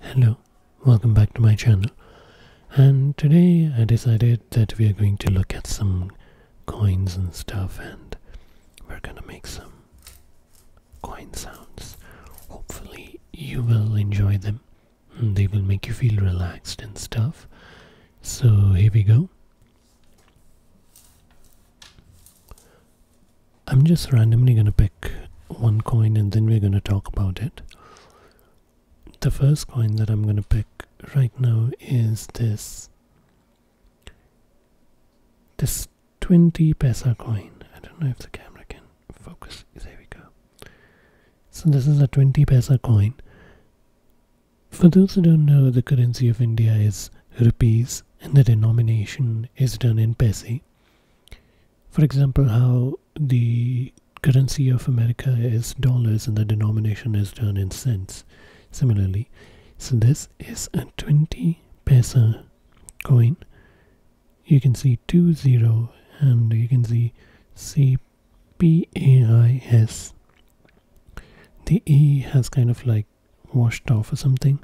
Hello, welcome back to my channel and today I decided that we are going to look at some coins and stuff and we're gonna make some coin sounds. Hopefully you will enjoy them mm, they will make you feel relaxed and stuff. So here we go. I'm just randomly going to pick one coin and then we're going to talk about it. The first coin that I'm going to pick right now is this this 20 pesa coin. I don't know if the camera can focus. There we go. So this is a 20 pesa coin. For those who don't know, the currency of India is rupees and the denomination is done in pesi. For example, how the currency of America is dollars and the denomination is done in cents. Similarly, so this is a 20 peso coin. You can see 20 and you can see CPAIS. The E has kind of like washed off or something.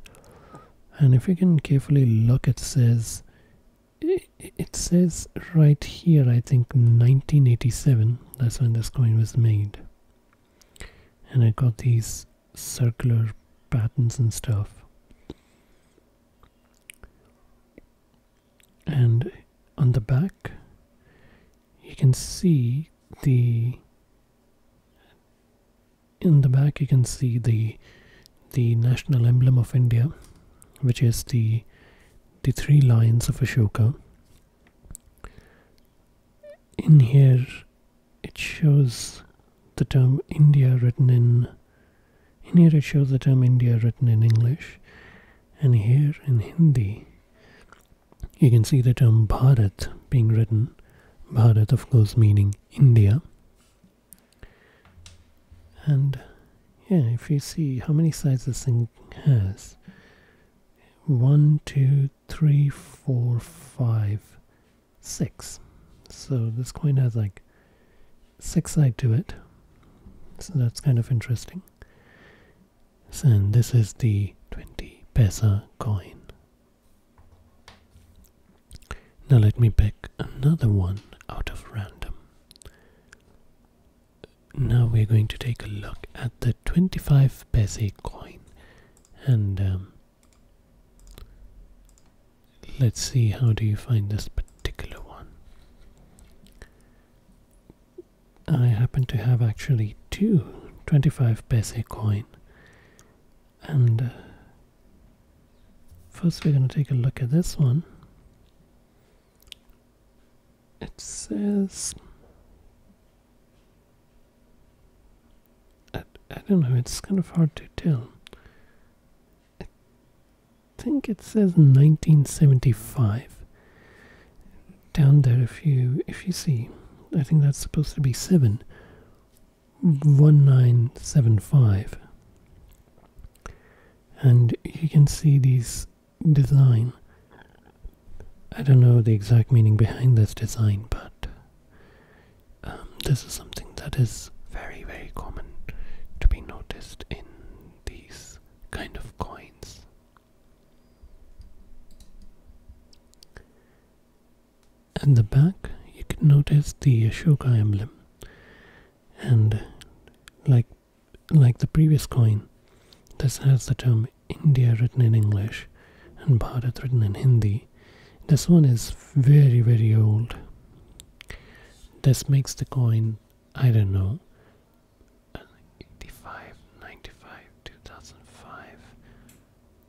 And if you can carefully look, it says it says right here, I think 1987, that's when this coin was made. And I got these circular patterns and stuff. And on the back, you can see the in the back you can see the the national emblem of India, which is the the three lions of Ashoka. In here, it shows the term India written in. In here, it shows the term India written in English, and here in Hindi, you can see the term Bharat being written. Bharat, of course, meaning India. And yeah, if you see how many sides this thing has one, two, three, four, five, six. So this coin has like six side to it. So that's kind of interesting. And this is the 20 pesa coin. Now let me pick another one out of random. Now we're going to take a look at the 25 paise coin and um, let's see how do you find this particular one. I happen to have actually two 25 paise coin and uh, first we're going to take a look at this one it says I, I don't know it's kind of hard to tell I think it says 1975 down there if you if you see I think that's supposed to be 7 1975 and you can see this design I don't know the exact meaning behind this design but um, this is something that is very very common to be noticed in these kind of coins at the back, you can notice the Ashoka emblem, and like like the previous coin, this has the term India written in English and Bharat written in Hindi. This one is very very old. This makes the coin I don't know. 85, 95, 2005,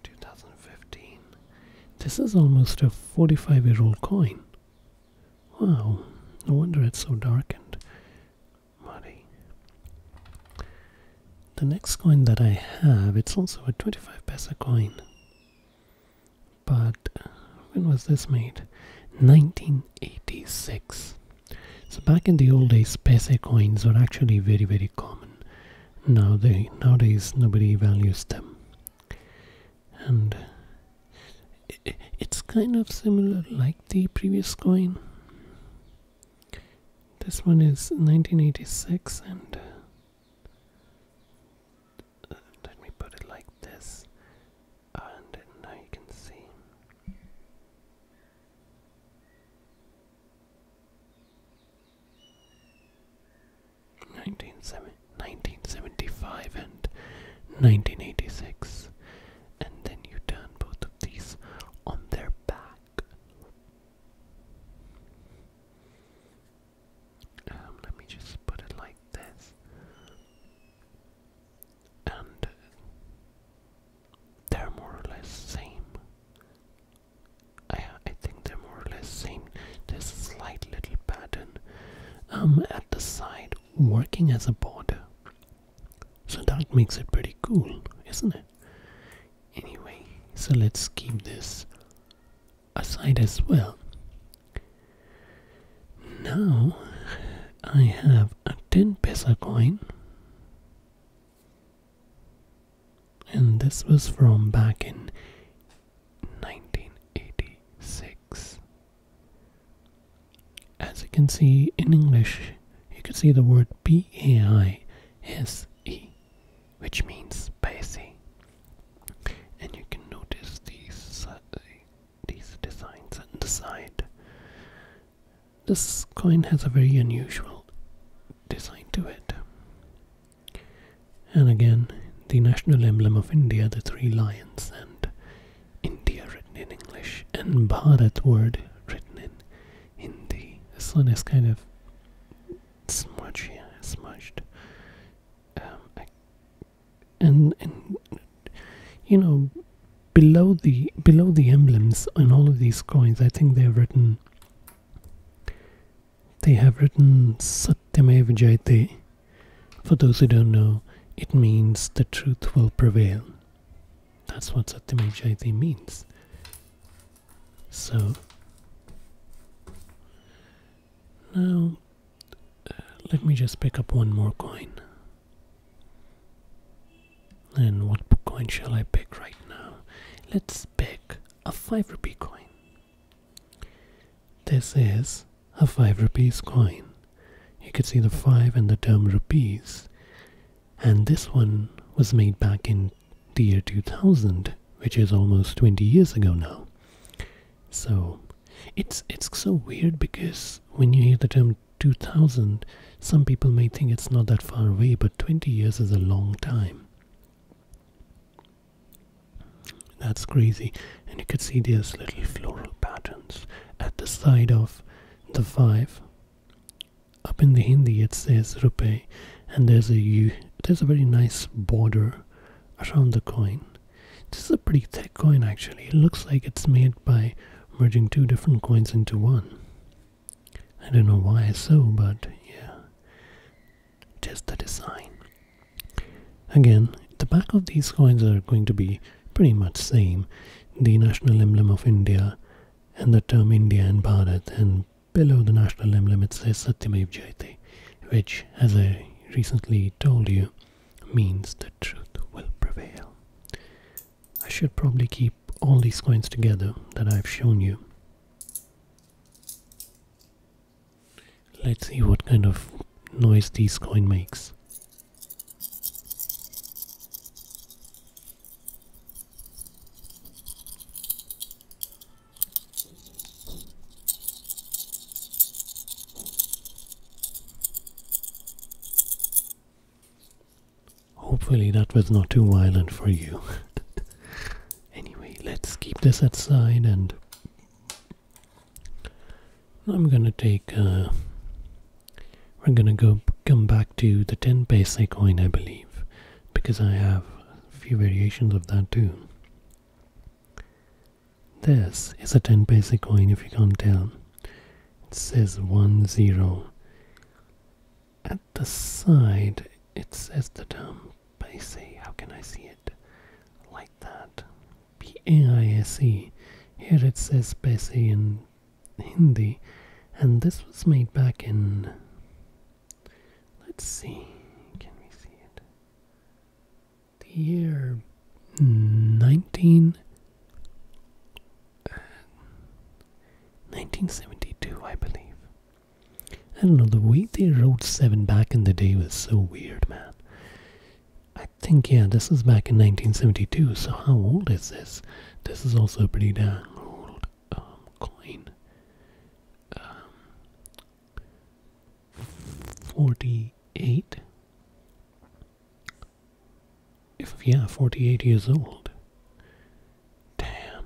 2015. This is almost a 45 year old coin. Wow, no wonder it's so dark and muddy. The next coin that I have, it's also a 25 pesa coin. But when was this made? 1986. So back in the old days, pesa coins were actually very, very common. Now nowadays nobody values them and it's kind of similar like the previous coin. This one is 1986 and uh, let me put it like this and now you can see 1975 and 1986. And then you turn both of these on their back. Um, let me just put it like this. And they're more or less same. I, I think they're more or less same. There's a slight little pattern um, at the side working as a border. So that makes it pretty cool, isn't it? Anyway, so let's keep this aside as well. Now I have a 10 peso coin and this was from back in 1986. As you can see in English, you can see the word B A I S E, which means spicy, and you can notice these these designs on the side. This coin has a very unusual design to it. And again, the national emblem of India, the three lions, and India written in English, and Bharat word written in Hindi. This one is kind of smudged. Um, I, and and you know, below the below the emblems on all of these coins, I think they're written they have written "satyamev Vijayate. For those who don't know, it means the truth will prevail. That's what "satyamev Vijayate means. So, now uh, let me just pick up one more coin. And what coin shall I pick right now? Let's pick a 5 rupee coin. This is a 5 rupees coin. You could see the 5 and the term rupees. And this one was made back in the year 2000, which is almost 20 years ago now. So it's it's so weird because when you hear the term 2000, some people may think it's not that far away, but 20 years is a long time. That's crazy. And you could see these little floral patterns at the side of the five. Up in the Hindi it says rupee and there's a there's a very nice border around the coin. This is a pretty thick coin actually. It looks like it's made by merging two different coins into one. I don't know why so, but yeah just the design. Again, the back of these coins are going to be pretty much the same. The national emblem of India and the term India and Bharat and below the national emblem it says Satyamev Jayate which as I recently told you means the truth will prevail. I should probably keep all these coins together that I've shown you. Let's see what kind of noise this coin makes. Hopefully that was not too violent for you. Anyway, let's keep this aside and I'm gonna take uh we're gonna go come back to the 10 paisa coin I believe because I have a few variations of that too. This is a 10 paisa coin if you can't tell. It says 1 0 the side, it says the term BASE. How can I see it like that? B A I S E. Here it says BASE in Hindi, and this was made back in. Let's see, can we see it? The year 19. 1972, uh, I believe. I don't know, the way they wrote 7 back in the day was so weird, man. I think, yeah, this is back in 1972, so how old is this? This is also a pretty dang old um, coin. 48? Um, if, yeah, 48 years old. Damn.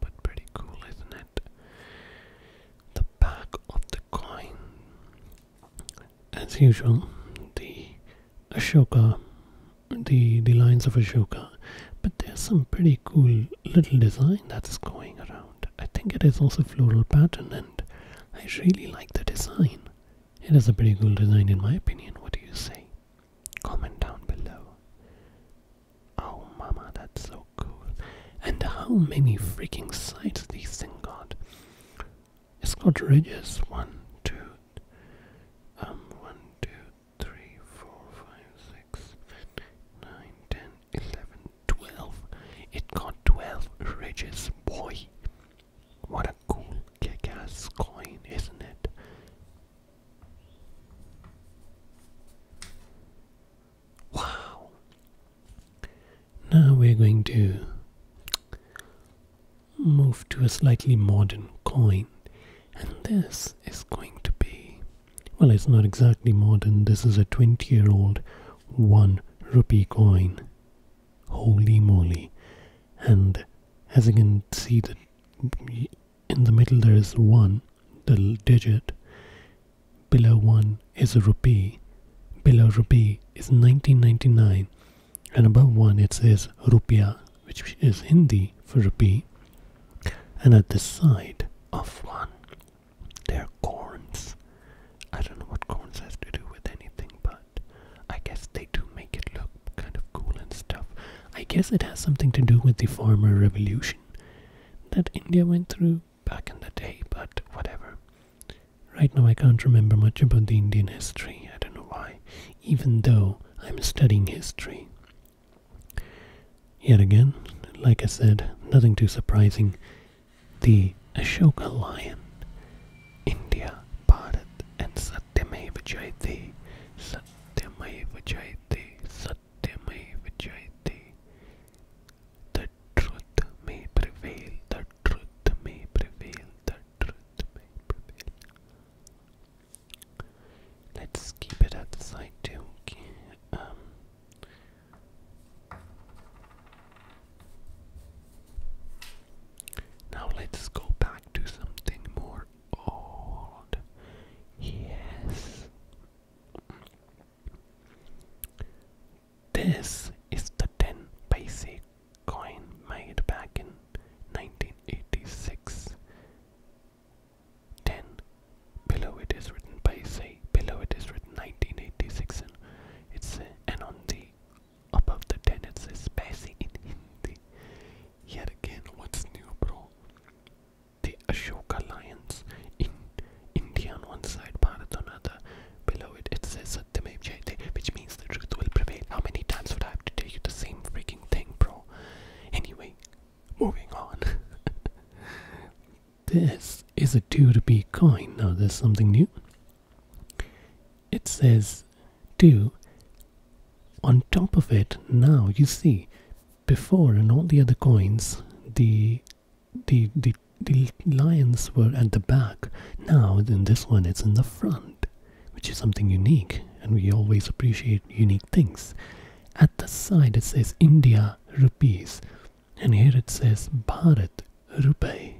But pretty cool, isn't it? The back of the coin. As usual, the Ashoka, the, the lines of Ashoka. But there's some pretty cool little design that's going around. I think it is also floral pattern and I really like the design. It is a pretty cool design in my opinion. What do you say? Comment down below. Oh, mama, that's so cool. And how many freaking sides these things got? It's got ridges. One, two, um, one, two, three, four, five, six, nine, ten, eleven, twelve. It got twelve ridges, boy. What a cool kick-ass coin, isn't it? Wow. Now we're going to move to a slightly modern coin. And this is going to be, well, it's not exactly modern. This is a 20 year old 1 rupee coin. Holy moly. And as you can see, the in the middle there is 1, the digit. Below 1 is a rupee. Below rupee is 1999. And above 1 it says rupiah, which is Hindi for rupee. And at the side of 1, there are coins. I don't know what coins has to do with anything, but I guess they do make it look kind of cool and stuff. I guess it has something to do with the farmer revolution that India went through back in the day, but whatever. Right now, I can't remember much about the Indian history. I don't know why, even though I'm studying history. Yet again, like I said, nothing too surprising. The Ashoka lion, India, Bharat, and Satyameva Jayate. Satyameva Jayate. Satyameva Satyame Vijayate. The truth may prevail, the truth may prevail, the truth may prevail. Let's keep it at the side too. now let's go back to something more old. Yes. This is the 10 paise coin made back in 1986. 10. Below it is written paise. Below it is written 1986. And, it's, uh, and on the above the 10 it says paise in Hindi. Yet again, what's new, bro? the Ashoka lions in India on one side, Bharat on other. Below it, it says Satyamev Jayate, which means the truth will prevail. How many times would I have to tell you the same freaking thing, bro? Anyway, moving on. this is a 2 rupee coin. Now, there's something new. It says 2. On top of it, now you see before and all the other coins, the the the lions were at the back. Now in this one, it's in the front, which is something unique, and we always appreciate unique things. At the side, it says India rupees, and here it says Bharat rupee.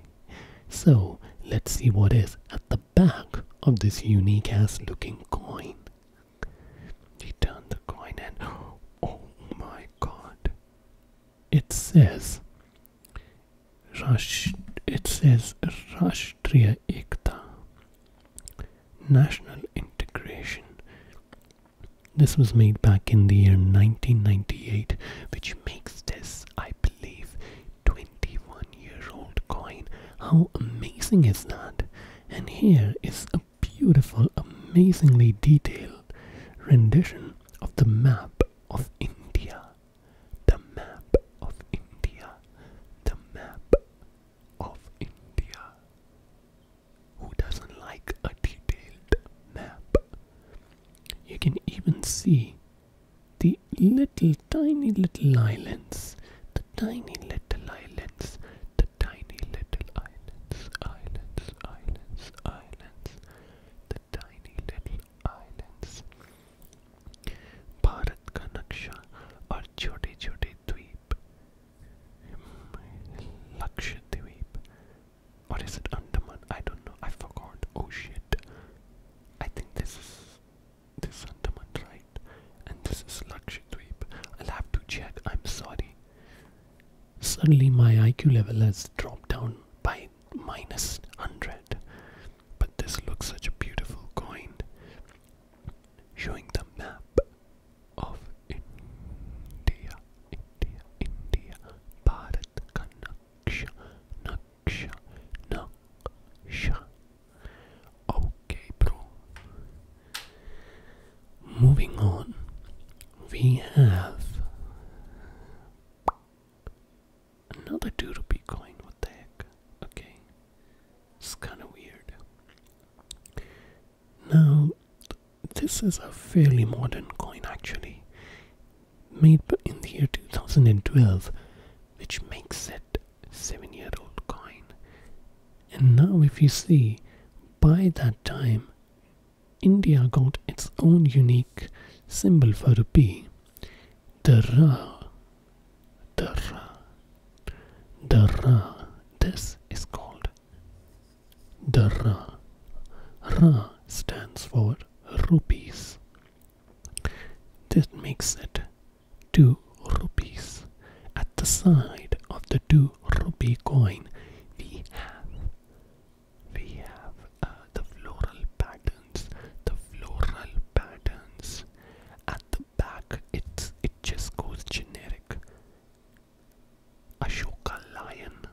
So let's see what is at the back of this unique ass looking coin. He turned the coin and oh my god. It says Rash it says Rashtriya Ekta National Integration. This was made back in the year 1998, which makes this, I believe, 21 year old coin. How amazing is that? And here is a beautiful, amazingly detailed rendition of the map of India. The map of India. The map of India. Who doesn't like a detailed map? You can even see the little tiny little islands the tiny little islands, the tiny little islands, islands, islands, eyelets, the tiny little eyelets. Bharat का नक्शा और छोटे-छोटे द्वीप, Lakshadweep, or What is it Andaman? I don't know. I forgot. Oh shit! I think this is this is right? And this is Lakshadweep. I'll have to check, I'm sorry. Suddenly my IQ level has dropped down by minus 100. But this looks such a beautiful coin. Showing the map of India, India, India, Bharat ka naksha, naksha, Okay, bro. Moving on, we have another 2 rupee What the heck? Okay, it's kind of weird. Now, this is a fairly modern coin actually, made in the year 2012, which makes it seven year old coin. And now, if you see, by that time, India got its own unique symbol for rupee the Ra. The Ra. The Ra. This is called the Ra. Ra stands for rupees. This makes it 2 rupees. At the side of the 2 rupee coin, we have we have uh, the floral patterns, the floral patterns. At the back, it's it just goes generic. Ashoka Lion,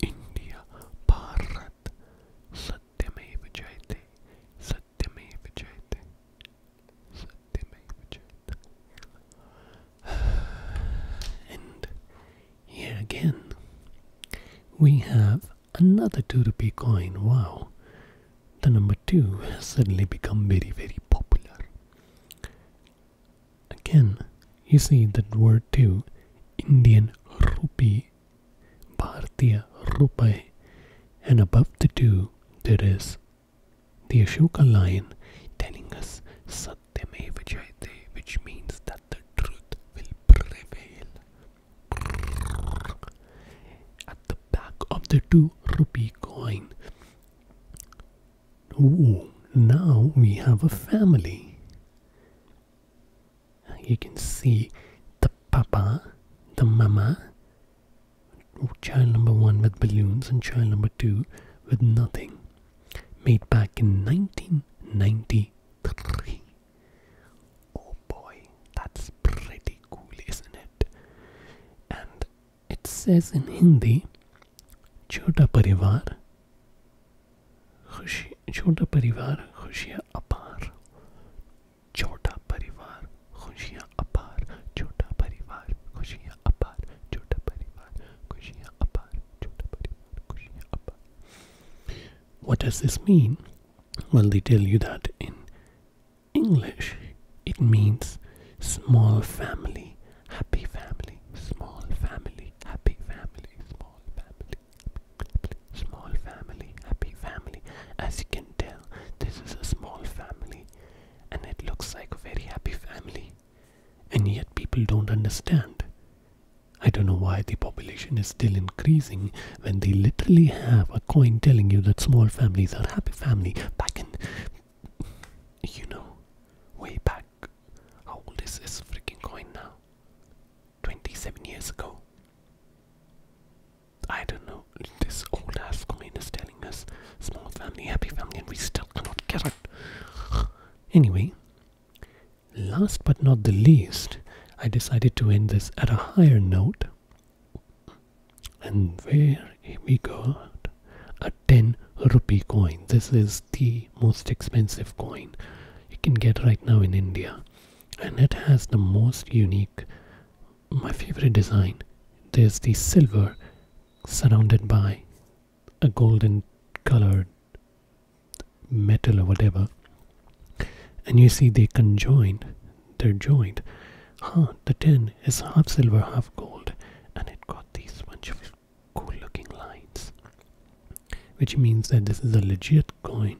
India, Bharat, Satyame Vijayate, Сатиме Вичайте. Сатиме Вичайте. And here again, we have another 2 rupee coin. Wow, the number 2 has suddenly become very, very popular. Again, you see that word 2, Indian rupee, Bhartiya rupee, and above the 2 there is the Ashoka lion telling us Satyame Vijayate, which means that the truth will prevail. At the back of the two rupee coin. Ooh, now we have a family. You can see the papa, the mama, child number one with balloons and child number two with nothing. Made back in 1993. Oh boy, that's pretty cool, isn't it? And it says in Hindi, Chota Parivar, Chota Parivar, Khushia Apar. छोटा परिवार खुशियाँ अपार छोटा परिवार खुशियाँ अपार छोटा परिवार खुशियाँ अपार छोटा परिवार खुशियाँ अपार What does this mean? Well, they tell you that in English it means small family, happy family, small family, happy family, small family, small family, happy family. As you can tell this is a small family, and it looks like a very happy family. And yet people don't understand. I don't know why the population is still increasing when they literally have a coin telling you that small families are happy family back in you know way back how old is this freaking coin now 27 years ago I don't know, this old ass coin is telling us small family, happy family, and we still cannot get it. Anyway, last but not the least, I decided to end this at a higher note. And where we got a 10 rupee coin. This is the most expensive coin you can get right now in India. And it has the most unique my favorite design. There's the silver surrounded by a golden colored metal or whatever. And you see they conjoined, they're joined. Huh, the tin is half silver, half gold, and it got these bunch of cool looking lines. Which means that this is a legit coin.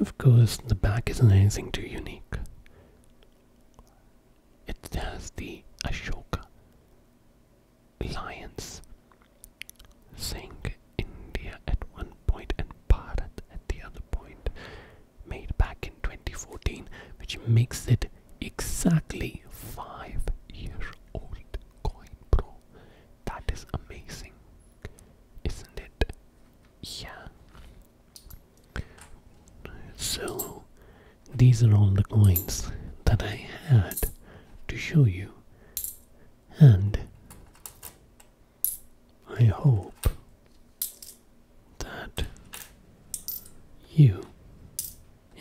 Of course, the back isn't anything too unique. It has the Ashoka lions saying India at one point and Bharat at the other point, made back in 2014, which makes it exactly five year old coin, bro. That is amazing, isn't it? Yeah. So, these are all the coins that I had to show you, and I hope that you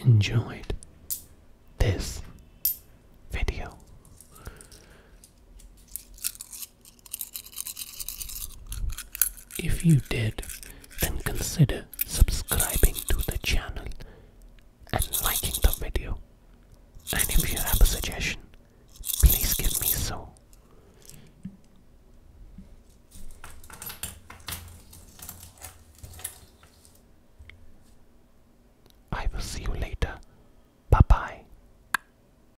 enjoyed this video. If you did, then consider subscribing to the channel and liking the video. And if you have a suggestion, please give me so. I will see you later. Bye bye.